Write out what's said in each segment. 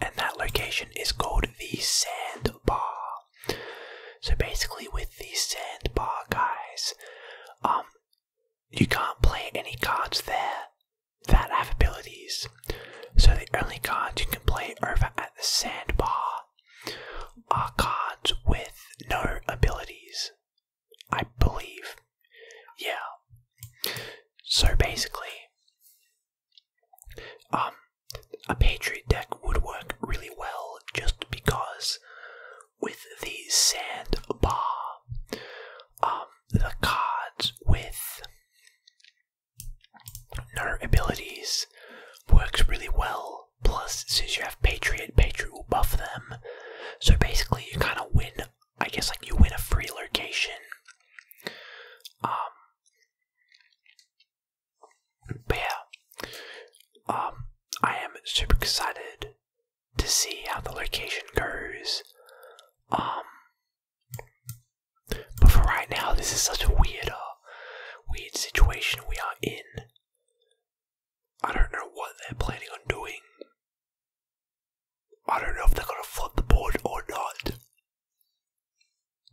and that location is called the sandbar. So basically, with the sandbar, guys, um, you can't play any cards there that have abilities. So the only cards you can play over at the sandbar are cards with no abilities. I believe. Yeah. So basically, um, a Patriot deck would work really well just because with the sand bar, um, the cards with no abilities works really well. Plus, since you have Patriot, Patriot will buff them. So basically, you kind of win I guess like you win a free location. Um, but yeah, um, I am super excited to see how the location goes. Um, but for right now, this is such a weird, uh, weird situation we are in. I don't know what they're planning on doing, I don't know if they're going to flip the board or not.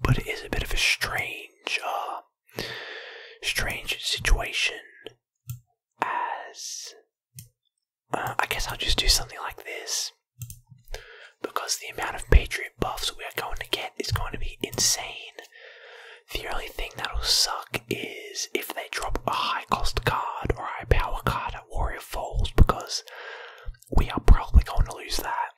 But it is a bit of a strange, uh, strange situation. As uh, I guess I'll just do something like this because the amount of Patriot buffs we are going to get is going to be insane. The only thing that'll suck is if they drop a high cost card or a high power card Warrior Falls because we are probably going to lose that.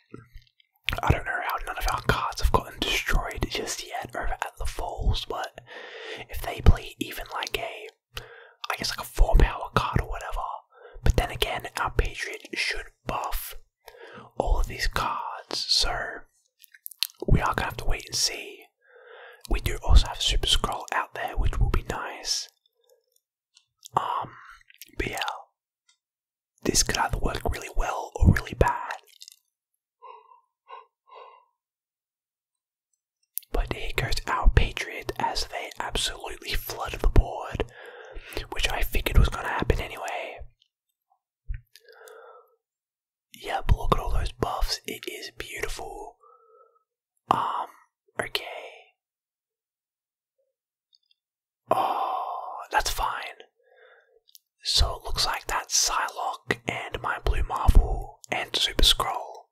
I don't know how none of our cards have gotten destroyed just yet or at the Falls, but if they play even like a, I guess like a 4 power card or whatever, but then again, our Patriot should buff all of these cards, so we are going to have to wait and see. We do also have Super Scroll out there, which will be nice. Um, yeah, this could either work really well or really bad. But here goes our Patriot as they absolutely flood the board, which I figured was going to happen anyway. Yep, look at all those buffs, it is beautiful. Um, okay. Oh, that's fine. So it looks like that Psylocke and my Blue Marvel and Super Scroll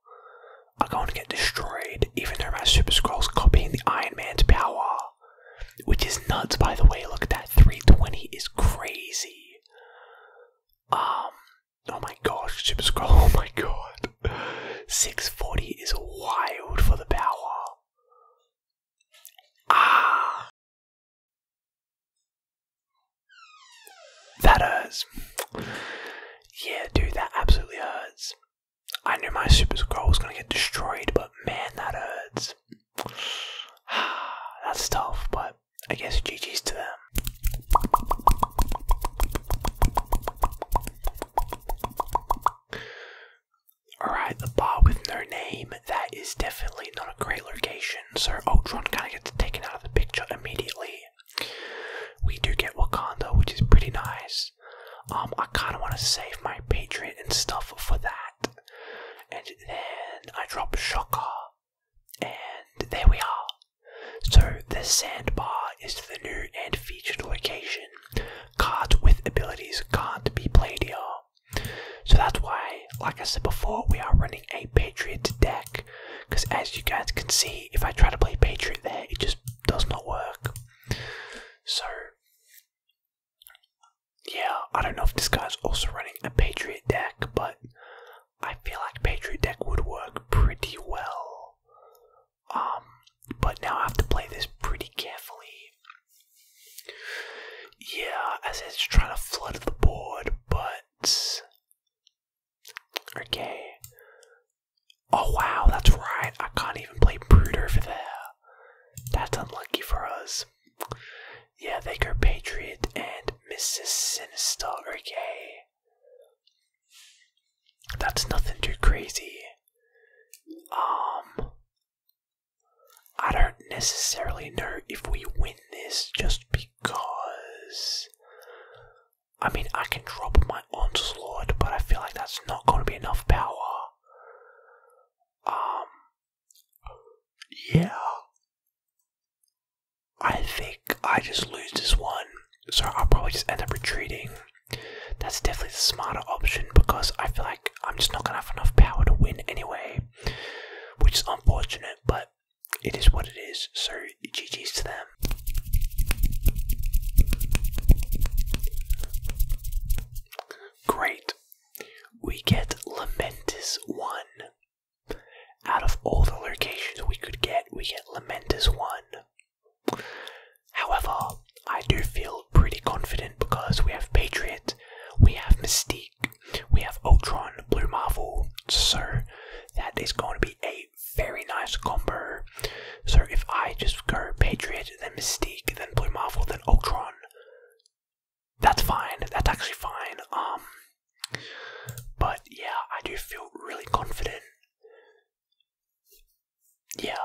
are going to get destroyed, even though my Super Scroll's copying the Iron Man's power. Which is nuts, by the way. Look at that. 320 is crazy. Um, Oh my gosh, Super Scroll, oh my god. 640 is wild for the power. Ah! That hurts. Yeah, dude, that absolutely hurts. I knew my Super Scroll was gonna get destroyed, but man, that hurts. That's tough, but I guess GG's to them. Alright, the bar with no name, that is definitely not a great location, so Ultron kind of gets taken out of the picture immediately. We do get Wakanda, which is pretty nice. Um, I kind of want to save my Patriot and stuff for that. And then I drop Shocker, and there we are. So, the sandbar is the new and featured location. Cards with abilities can't be played here. So, that's why, like I said before, we are running a Patriot deck. Because, as you guys can see, if I try to play Patriot there, it just does not work. So, yeah, I don't know if this guy's also running a Patriot deck, but I feel like Patriot Deck would work pretty well. Um, but now I have to play this pretty carefully. Yeah, as it's trying to flood the board, but okay. Oh wow, that's right. I can't even play Brood over there. That's unlucky for us. Yeah, they go Patriot and Mrs. Sinister, okay. That's nothing too crazy. Um, I don't necessarily know if we win this just because. I mean, I can drop my onslaught, but I feel like that's not going to be enough power. Um, yeah. I think I just lose this one, so I'll probably just end up retreating. That's definitely the smarter option because I feel like I'm just not gonna have enough power to win anyway, which is unfortunate, but it is what it is, so GG's to them. Great. We get Lamentous 1. Out of all the locations we could get, we get Lamentus 1. However, I do feel pretty confident because we have Patriot, we have Mystique, we have Ultron, Blue Marvel, so that is going to be a very nice combo. So if I just go Patriot, then Mystique, then Blue Marvel, then Ultron, that's fine, that's actually fine. Um, but yeah, I do feel really confident. Yeah.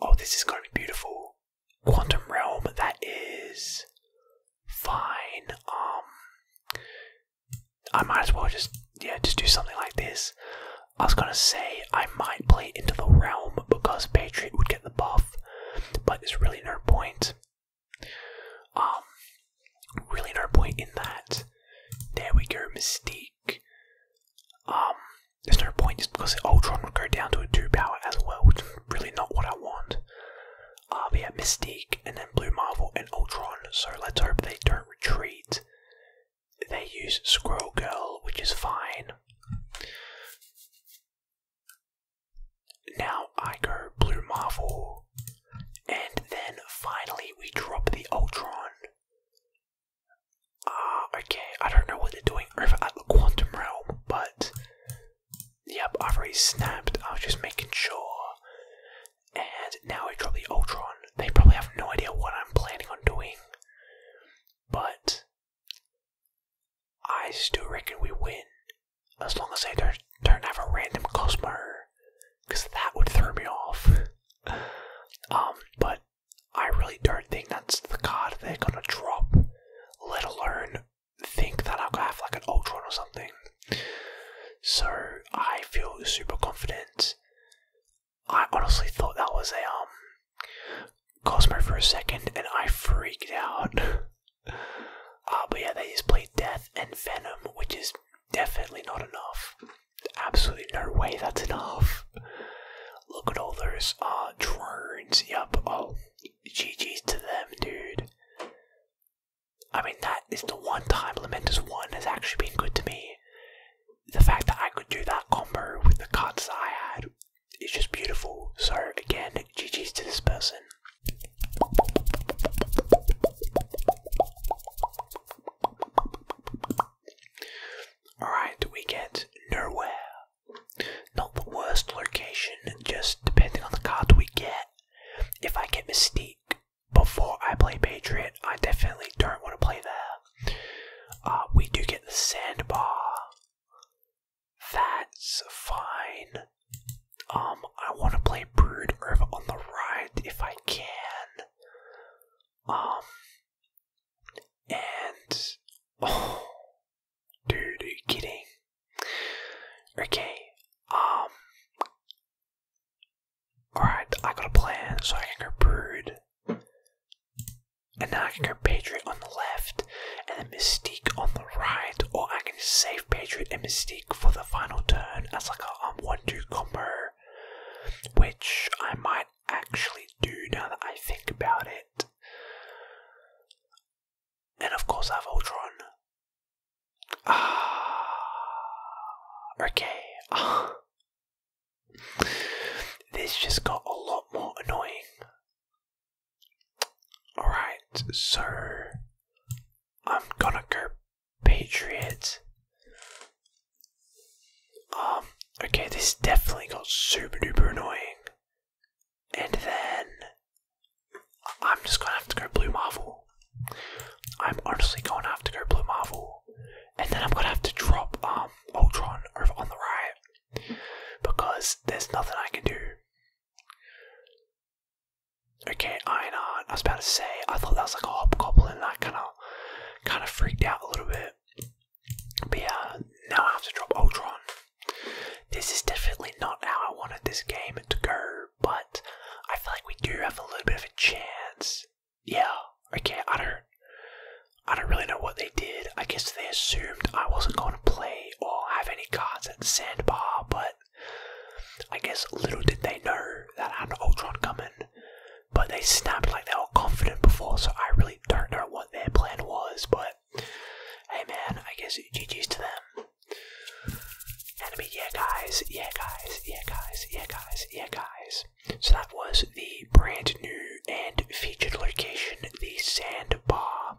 Oh, this is going to be beautiful. Quantum Realm, that is fine. Um, I might as well just, yeah, just do something like this. I was going to say I might play Into the Realm because Patriot would get the buff, but it's really no point. Um, really no point in that. There we go, Mystique. Um, there's no point just because Ultron would go down to a two power as well, which is really not what I want. Uh, we have Mystique and then Blue Marvel and Ultron, so let's hope they don't retreat. They use Squirrel Girl, which is fine. Now I go Blue Marvel. And then finally we drop the Ultron. Ah, okay, I don't know what they're doing over at the Quantum Realm, but yep, I've already snapped. I was just making sure. And now we drop the Ultron. They probably have no idea what I'm planning on doing. But I still reckon we win, as long as they don't, don't have a random Cosmo, because that would throw me off. um, but I really don't think that's the card they're gonna drop, let alone think that i will have like an Ultra or something. So I feel super confident. I honestly thought that was a um Cosmo for a second, and I freaked out. Uh, but yeah, they just played Death and Venom, which is definitely not enough. Absolutely no way that's enough. Look at all those uh, drones. Yup. Oh, GG's to them, dude. I mean, that is the one time Lamentus 1 has actually been good to me. The fact that I could do that combo with the cuts I had is just beautiful. So, again, right, GG's to this person. Alright, we get nowhere. Not the worst location, just depending on the card we get. If I get Mystique before I play Patriot, I definitely don't want to play there. Uh, we do get the Sandbar. That's fine. Um, I want to play Brood over on the right if I can. Um, and. Oh, dude, are you kidding? Okay, um. Alright, I got a plan, so I can go Brood. And now I can go Patriot on the left and then Mystique on the right, or I can save Patriot and Mystique for the final turn as like a um, one-two combo, which I might actually do now that I think about it. And of course, I have Ultron. Ah, okay. This just got a lot more annoying. Alright, so I'm gonna go Patriots. Um, okay, this definitely got super duper annoying. And then I'm just gonna have to go Blue Marvel. I'm honestly gonna have to go Blue Marvel. And then I'm gonna have to drop um Ultron over on the right. Because there's nothing I can do. Okay, Einar. Uh, I was about to say, I thought that was like a hobgoblin, and I kind of, kind of freaked out a little bit. But now I have to drop Ultron. This is definitely not how I wanted this game to go, but I feel like we do have a little bit of a chance. Yeah. Okay. I don't. I don't really know what they did. I guess they assumed I wasn't going to play all have any cards at Sandbar, but I guess little did they know that had an Ultron coming. But they snapped like they were confident before, so I really don't know what their plan was, but hey man, I guess GG's to them. And yeah guys, yeah guys, yeah guys, yeah guys, yeah guys. So that was the brand new and featured location, the Sandbar.